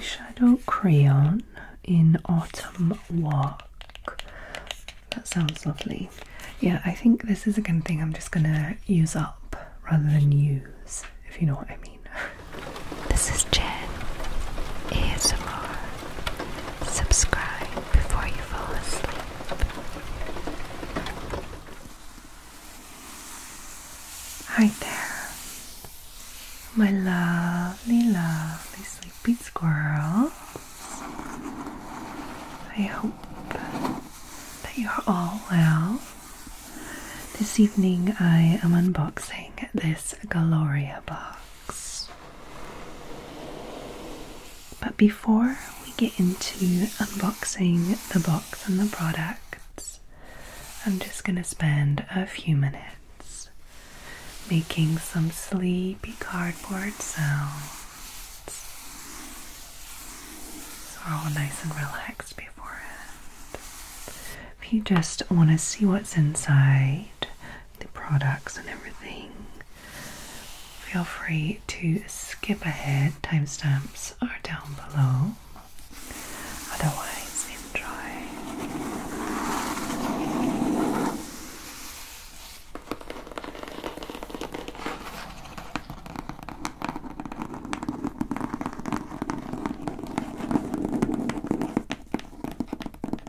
shadow Crayon in Autumn Walk. That sounds lovely. Yeah, I think this is a good thing I'm just gonna use up rather than use, if you know what I mean. This is Jen ASMR. Subscribe before you fall asleep. Hi there, my lovely, lovely sleepy squirrel. I hope that you're all well. This evening I am unboxing this Gloria box. But before we get into unboxing the box and the products, I'm just going to spend a few minutes making some sleepy cardboard sounds. So we're all nice and relaxed beforehand. If you just want to see what's inside, the products and everything, feel free to skip ahead. Timestamps are down below. Otherwise, enjoy.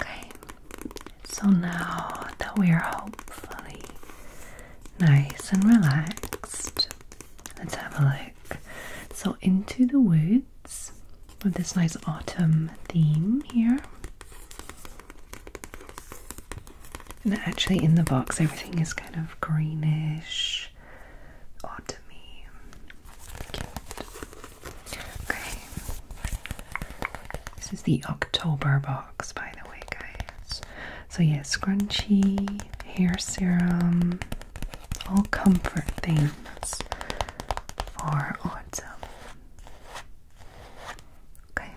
Okay, so now that we are hopefully nice and relaxed, let's have a look. So, Into the Woods with this nice autumn theme here. And actually, in the box, everything is kind of greenish, autumny. Okay. This is the October box, by the way, guys. So, yeah, scrunchy, hair serum, all comfort things for autumn. Okay,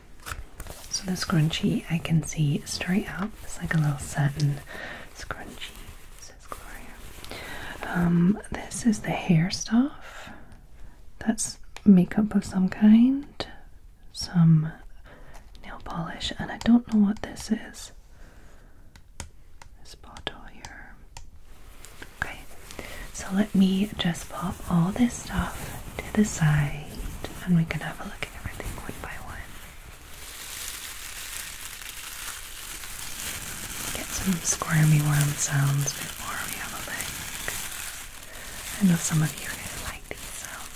so the scrunchy I can see straight up, it's like a little satin scrunchie, says Gloria. Um, this is the hair stuff, that's makeup of some kind, some nail polish, and I don't know what this is this bottle here. Okay, so let me just pop all this stuff to the side and we can have a look at everything one by one. Get some squirmy worm sounds before we have a look. I know some of you are like these sounds.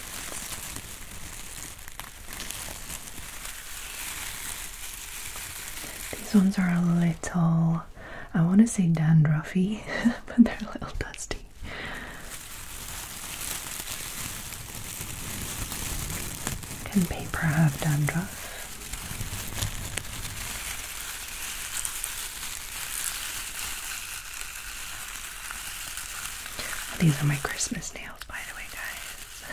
These ones are a little, I want to say dandruffy, but they're a little dusty. Can paper have dandruff? These are my Christmas nails by the way, guys.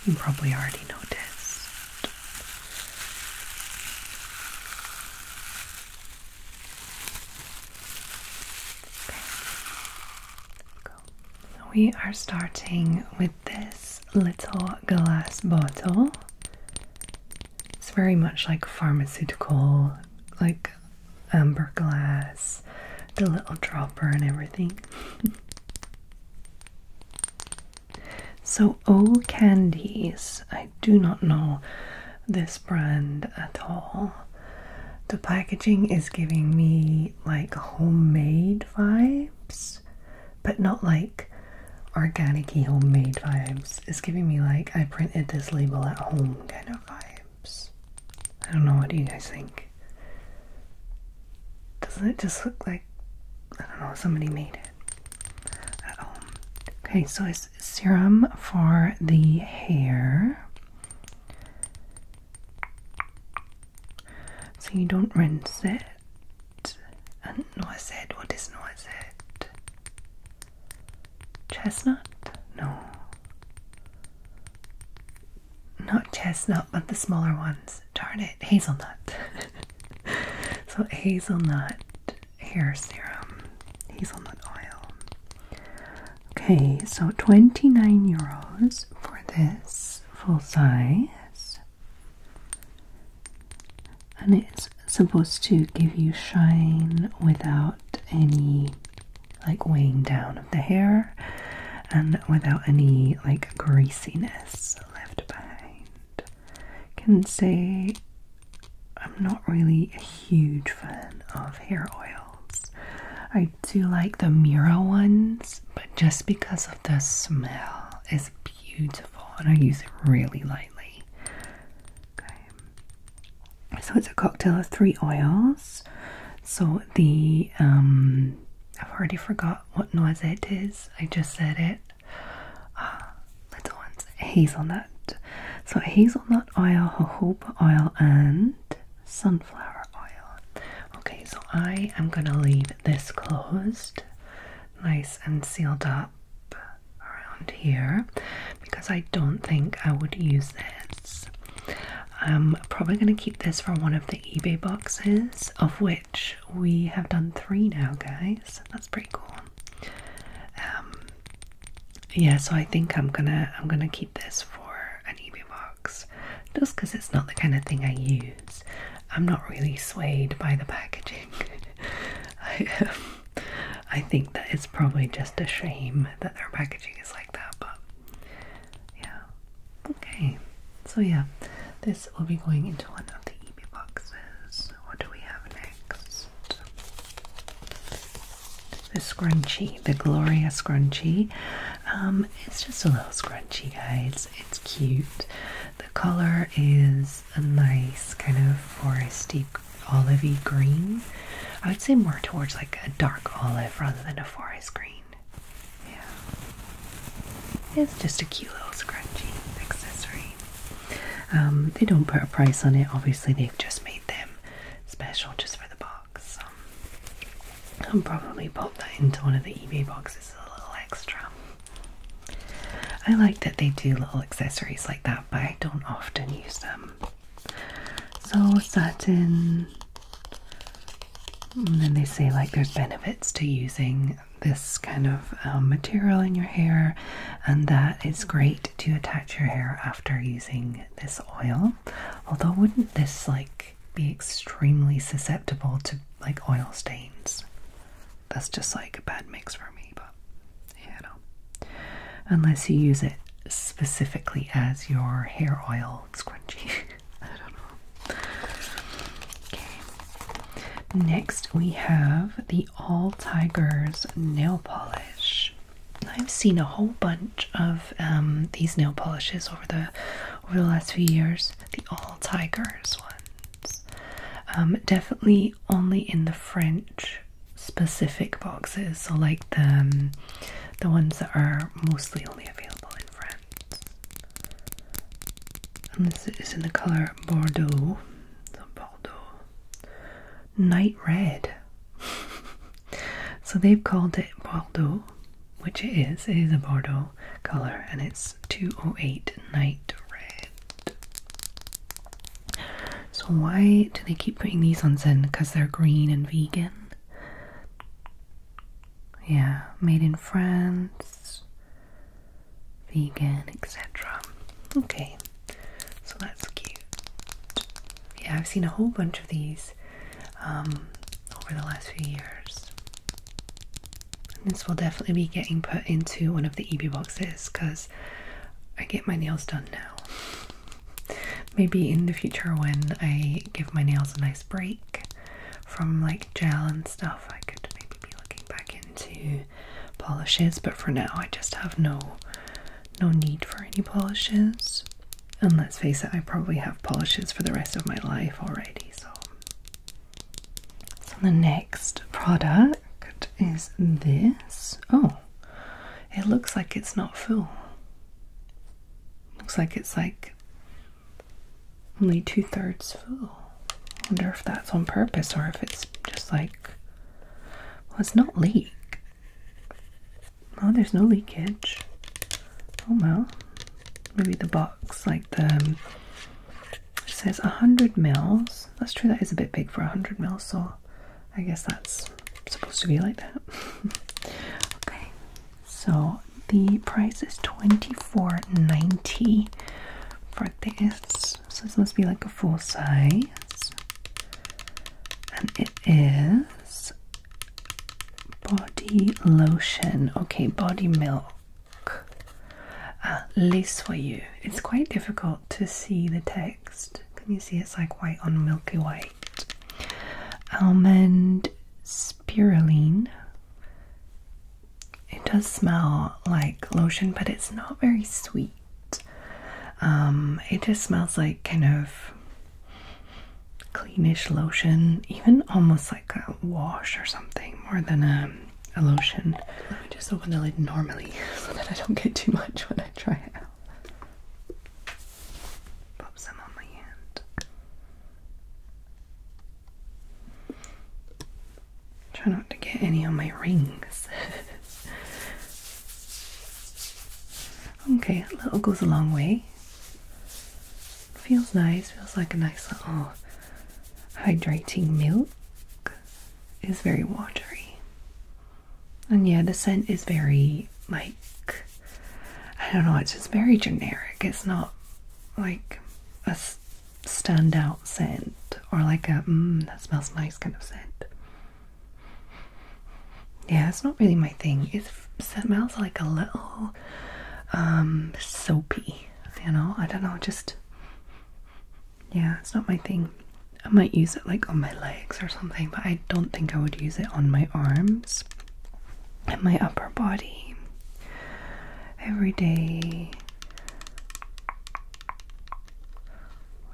you probably already noticed. Okay. Cool. We are starting with this little glass bottle. It's very much like pharmaceutical, like amber glass, the little dropper, and everything. so, O Candies, I do not know this brand at all. The packaging is giving me like homemade vibes, but not like organic homemade vibes. It's giving me like I printed this label at home kind of vibe. I don't know, what do you guys think? Doesn't it just look like, I don't know, somebody made it at home? Okay, so it's serum for the hair. So you don't rinse it. And no, I said, what is no, I Chestnut? No, not chestnut, but the smaller ones. Darn it, hazelnut. so, hazelnut hair serum, hazelnut oil. Okay, so 29 euros for this full size. And it's supposed to give you shine without any like weighing down of the hair and without any like greasiness left behind. Can say I'm not really a huge fan of hair oils. I do like the Mira ones, but just because of the smell, it's beautiful and I use it really lightly. Okay. So it's a cocktail of three oils. So the um, I've already forgot what noise it is. I just said it. Uh, little ones, hazelnut. So hazelnut oil, jojoba oil, and sunflower oil. Okay, so I am gonna leave this closed, nice and sealed up around here, because I don't think I would use this I'm probably going to keep this for one of the eBay boxes, of which we have done three now, guys. That's pretty cool. Um, yeah, so I think I'm gonna I'm gonna keep this for an eBay box, just because it's not the kind of thing I use. I'm not really swayed by the packaging. I think that it's probably just a shame that their packaging is like that, but yeah. Okay. So yeah, this will be going into one of the EB boxes. What do we have next? The scrunchie, the Gloria scrunchie. Um, it's just a little scrunchie, guys. It's cute. The color is a nice kind of foresty, olivey green. I would say more towards like a dark olive rather than a forest green. Yeah. It's just a cute little scrunchie accessory. Um, they don't put a price on it, obviously, they've just made them special just for the box. Um, I'll probably pop that into one of the eBay boxes as a little extra. I like that they do little accessories like that, but I don't often use them. So satin. and then they say like there's benefits to using this kind of um, material in your hair, and that it's great to attach your hair after using this oil. Although wouldn't this like be extremely susceptible to like oil stains? That's just like a bad mix for me, but you know, unless you use it specifically as your hair oil called Next we have the All Tigers nail polish. I've seen a whole bunch of um, these nail polishes over the over the last few years. The All Tigers ones, um, definitely only in the French specific boxes. So like the um, the ones that are mostly only available in France. And this is in the colour Bordeaux. Bordeaux. Night red. so they've called it Bordeaux, which it is. It is a Bordeaux colour and it's 208 night red. So why do they keep putting these ones in? Because they're green and vegan yeah, made in France, vegan, etc. Okay, so that's cute. Yeah, I've seen a whole bunch of these um, over the last few years. this will definitely be getting put into one of the EB boxes because I get my nails done now maybe in the future when I give my nails a nice break from like gel and stuff, I could maybe be looking back into polishes. But for now, I just have no no need for any polishes. And let's face it, I probably have polishes for the rest of my life already. So, so the next product is this. Oh, it looks like it's not full. Looks like it's like only two thirds full. wonder if that's on purpose or if it's just like. Well, it's not leak. Oh, there's no leakage. Oh well. Maybe the box, like the. Um, it says 100 mils. That's true, that is a bit big for 100 mils, so I guess that's supposed to be like that. okay, so the price is twenty four ninety for this. So this must be like a full size. And it is body lotion. Okay, body milk. At uh, least for you, It's quite difficult to see the text. Can you see it's like white on milky white? almond spiruline. It does smell like lotion, but it's not very sweet. Um, it just smells like kind of cleanish lotion, even almost like a wash or something more than a, lotion. just open the lid normally so that I don't get too much when I try it out. Pop some on my hand. Try not to get any on my rings. okay, a little goes a long way. Feels nice, feels like a nice little hydrating milk. Is very watery. And yeah, the scent is very like I don't know, it's just very generic. It's not like a standout scent or like a mmm, that smells nice kind of scent. Yeah, it's not really my thing. It smells like a little um, soapy, you know. I don't know, just yeah, it's not my thing. I might use it like on my legs or something, but I don't think I would use it on my arms and my upper body every day.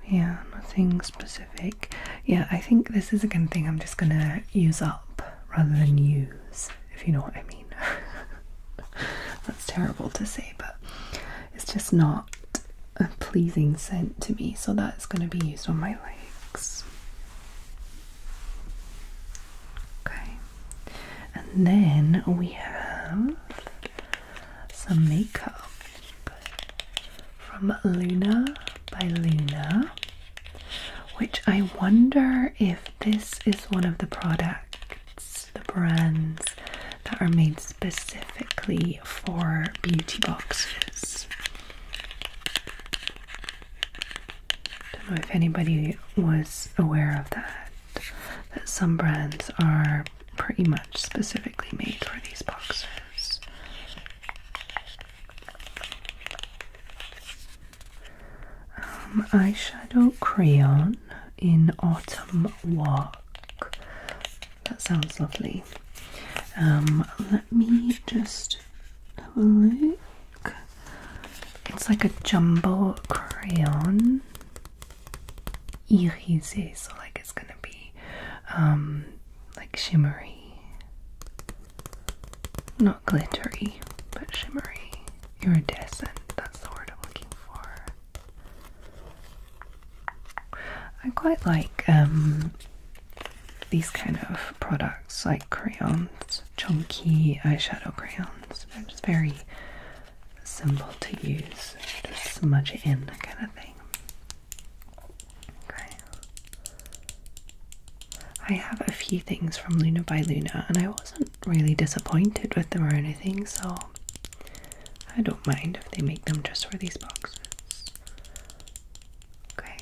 Yeah, nothing specific. Yeah, I think this is a kind thing I'm just gonna use up rather than use, if you know what I mean. That's terrible to say, but it's just not a pleasing scent to me, so that's gonna be used on my legs. Okay, and then we have some makeup from Luna by Luna, which I wonder if this is one of the products, the brands that are made specifically for beauty boxes. Don't know if anybody was aware of that. That some brands are pretty much specifically made for these boxes. Um, eyeshadow crayon in autumn walk. That sounds lovely. Um, let me just look. It's like a jumbo crayon. Irisé, so like it's gonna be um like shimmery. Not glittery, but shimmery. Iridescent, that's the word I'm looking for. I quite like um these kind of products like crayons, chunky eyeshadow crayons. They're just very simple to use. Just smudge it in kind of thing. Okay. I have a few things from Luna by Luna and I wasn't really disappointed with them or anything, so I don't mind if they make them just for these boxes. Okay,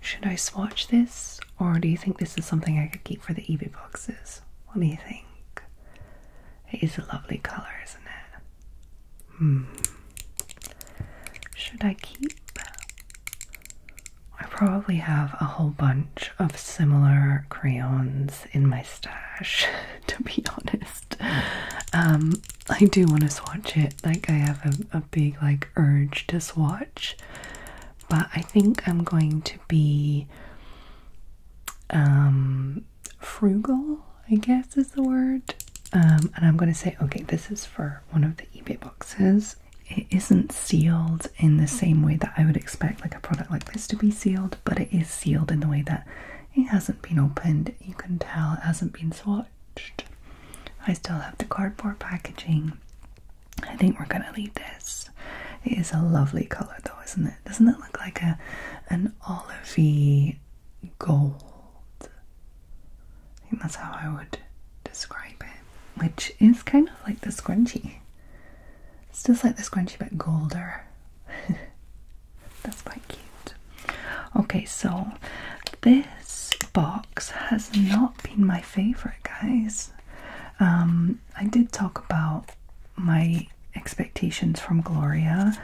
should I swatch this or do you think this is something I could keep for the eBay boxes? What do you think? It is a lovely colour, isn't it? Hmm. Should I keep? I probably have a whole bunch of similar crayons in my stash, to be honest. Um, I do want to swatch it. Like I have a, a big like urge to watch, but I think I'm going to be um, frugal, I guess is the word. Um, and I'm going to say, okay, this is for one of the eBay boxes. It isn't sealed in the same way that I would expect like a product like this to be sealed, but it is sealed in the way that it hasn't been opened. You can tell it hasn't been swatched I still have the cardboard packaging. I think we're gonna leave this. It is a lovely colour though, isn't it? Doesn't it look like a an olivey gold? I think that's how I would describe it. Which is kind of like the scrunchie. It's just like the scrunchie but golder. that's quite cute. Okay, so this box has not been my favorite, guys. Um, I did talk about my expectations from Gloria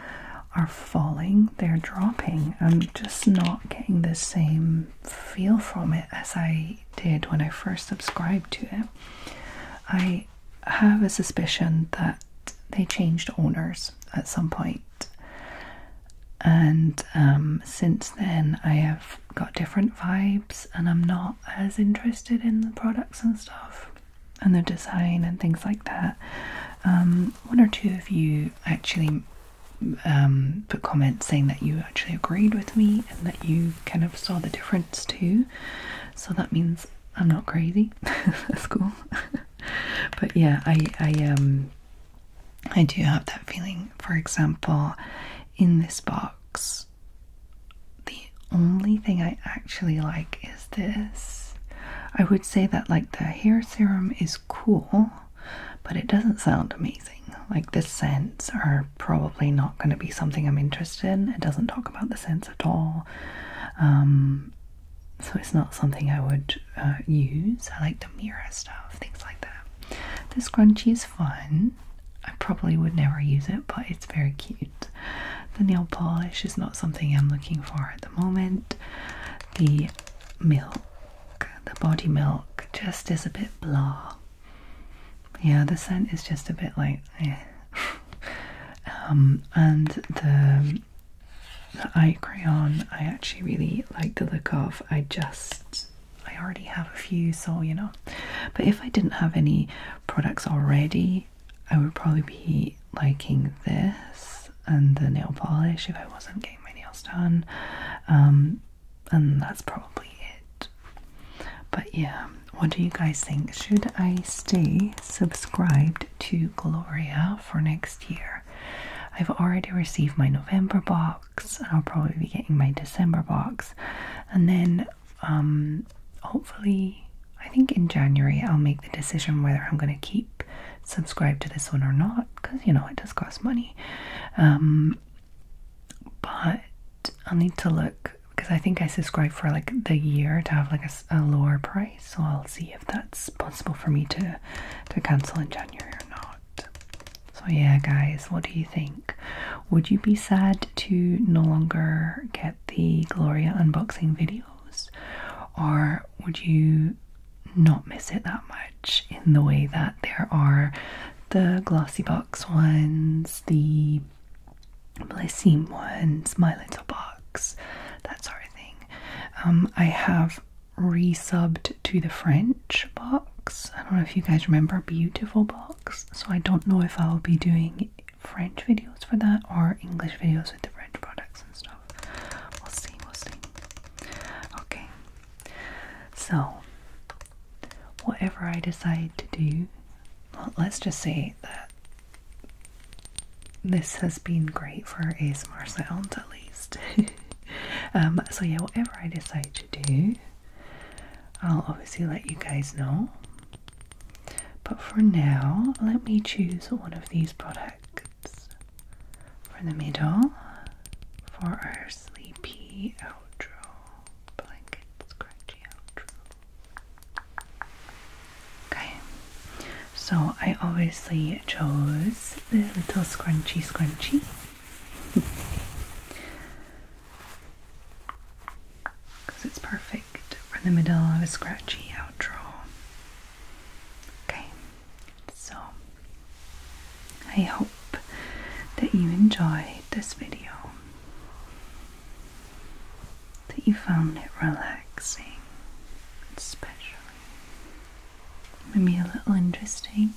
are falling, they're dropping. I'm just not getting the same feel from it as I did when I first subscribed to it. I have a suspicion that they changed owners at some point and um, since then I have got different vibes and I'm not as interested in the products and stuff and the design and things like that. Um, one or two of you actually um, put comments saying that you actually agreed with me and that you kind of saw the difference too. So that means I'm not crazy. That's cool. but yeah, I I um I do have that feeling. For example, in this box, the only thing I actually like is this. I would say that, like, the hair serum is cool, but it doesn't sound amazing. Like, the scents are probably not going to be something I'm interested in. It doesn't talk about the scents at all. Um, so it's not something I would uh, use. I like the mirror stuff, things like that. The scrunchie is fun. I probably would never use it, but it's very cute. The nail polish is not something I'm looking for at the moment. The milk, the body milk, just is a bit blah. Yeah, the scent is just a bit like, eh. um, and the the eye crayon I actually really like the look of. I just I already have a few, so you know. But if I didn't have any products already, I would probably be liking this and the nail polish if I wasn't getting my nails done. Um, and that's probably it. But yeah, what do you guys think? Should I stay subscribed to Gloria for next year? I've already received my November box. I'll probably be getting my December box, and then um, hopefully, I think in January I'll make the decision whether I'm going to keep subscribed to this one or not, because you know it does cost money. Um, but I'll need to look because I think I subscribe for like the year to have like a, a lower price, so I'll see if that's possible for me to to cancel in January or not. So yeah guys, what do you think? Would you be sad to no longer get the Gloria unboxing videos? Or would you not miss it that much in the way that there are the glossy box ones, the Blissine ones, my little box, that sort of thing. Um, I have resubbed to the French box. I don't know if you guys remember Beautiful Box, so I don't know if I'll be doing French videos for that or English videos with the French products and stuff. We'll see, we'll see. Okay, so whatever I decide to do, let's just say that this has been great for ASMR sounds at least. Um, so yeah, whatever I decide to do, I'll obviously let you guys know. But for now, let me choose one of these products for the middle for our sleepy outro blanket scratchy outro. Okay, so I obviously chose the little scrunchy scrunchy. Because it's perfect for the middle of a scratchy outro. Okay, so I hope that you enjoyed this video, that you found it relaxing, especially maybe a little interesting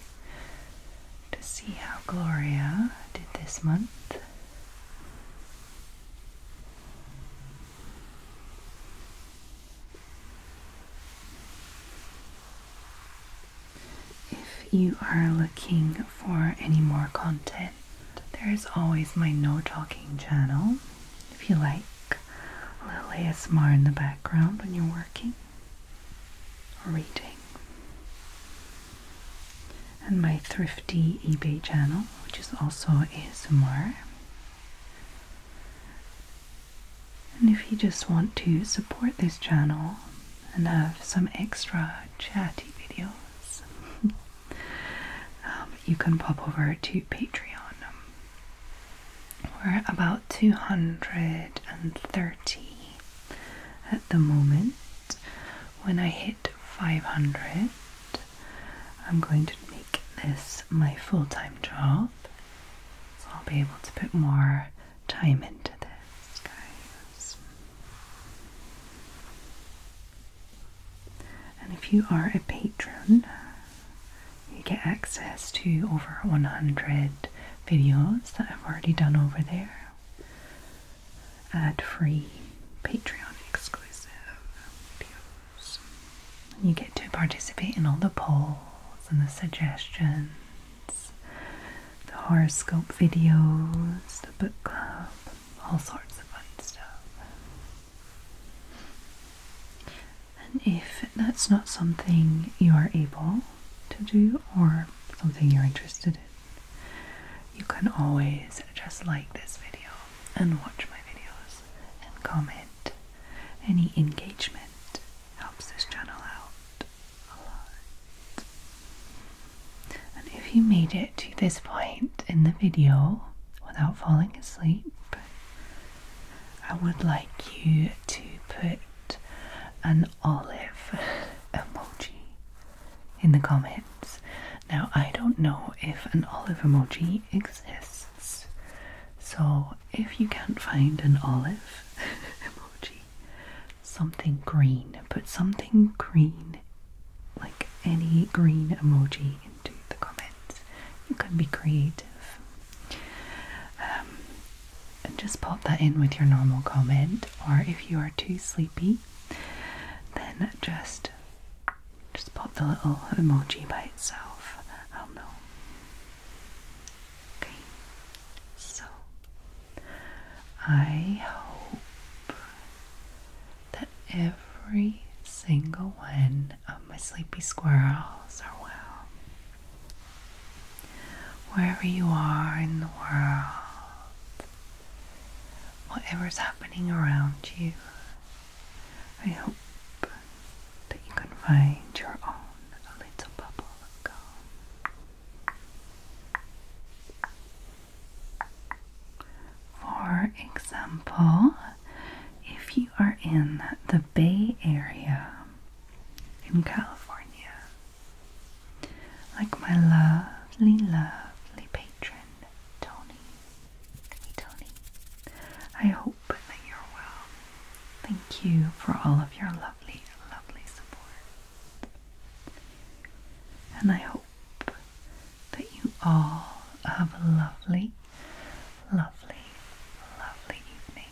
to see how Gloria did this month. If you are looking for any more content, there is always my no talking channel. If you like a little ASMR in the background when you're working, reading. And my thrifty eBay channel, which is also ASMR. And if you just want to support this channel and have some extra chatty videos, um, you can pop over to Patreon. We're about 230 at the moment. When I hit 500, I'm going to make this my full time job. So I'll be able to put more time into this, And if you are a patron, you get access to over 100 videos that I've already done over there. Ad free Patreon exclusive videos. you get to participate in all the polls and the suggestions, the horoscope videos, the book club, all sorts of fun stuff. And if that's not something you are able to do or something you're interested in, you can always just like this video and watch my videos and comment. Any engagement helps this channel out a lot. And if you made it to this point in the video without falling asleep, I would like you to put an olive emoji in the comments. Now, I don't know if an olive emoji exists, so if you can't find an olive emoji, something green, put something green, like any green emoji, into the comments. You can be creative. Um, and just pop that in with your normal comment or if you are too sleepy then just just pop the little emoji by itself. i know. Okay. So I hope that every single one of my sleepy squirrels are well. Wherever you are in the world, whatever's happening around you, I hope that you can find your own little bubble of calm. For example, if you are in the Bay Area in California. Like my lovely, lovely patron, Tony. Tony. I hope that you're well. Thank you for all of your lovely, lovely support. And I hope that you all have a lovely, lovely, lovely evening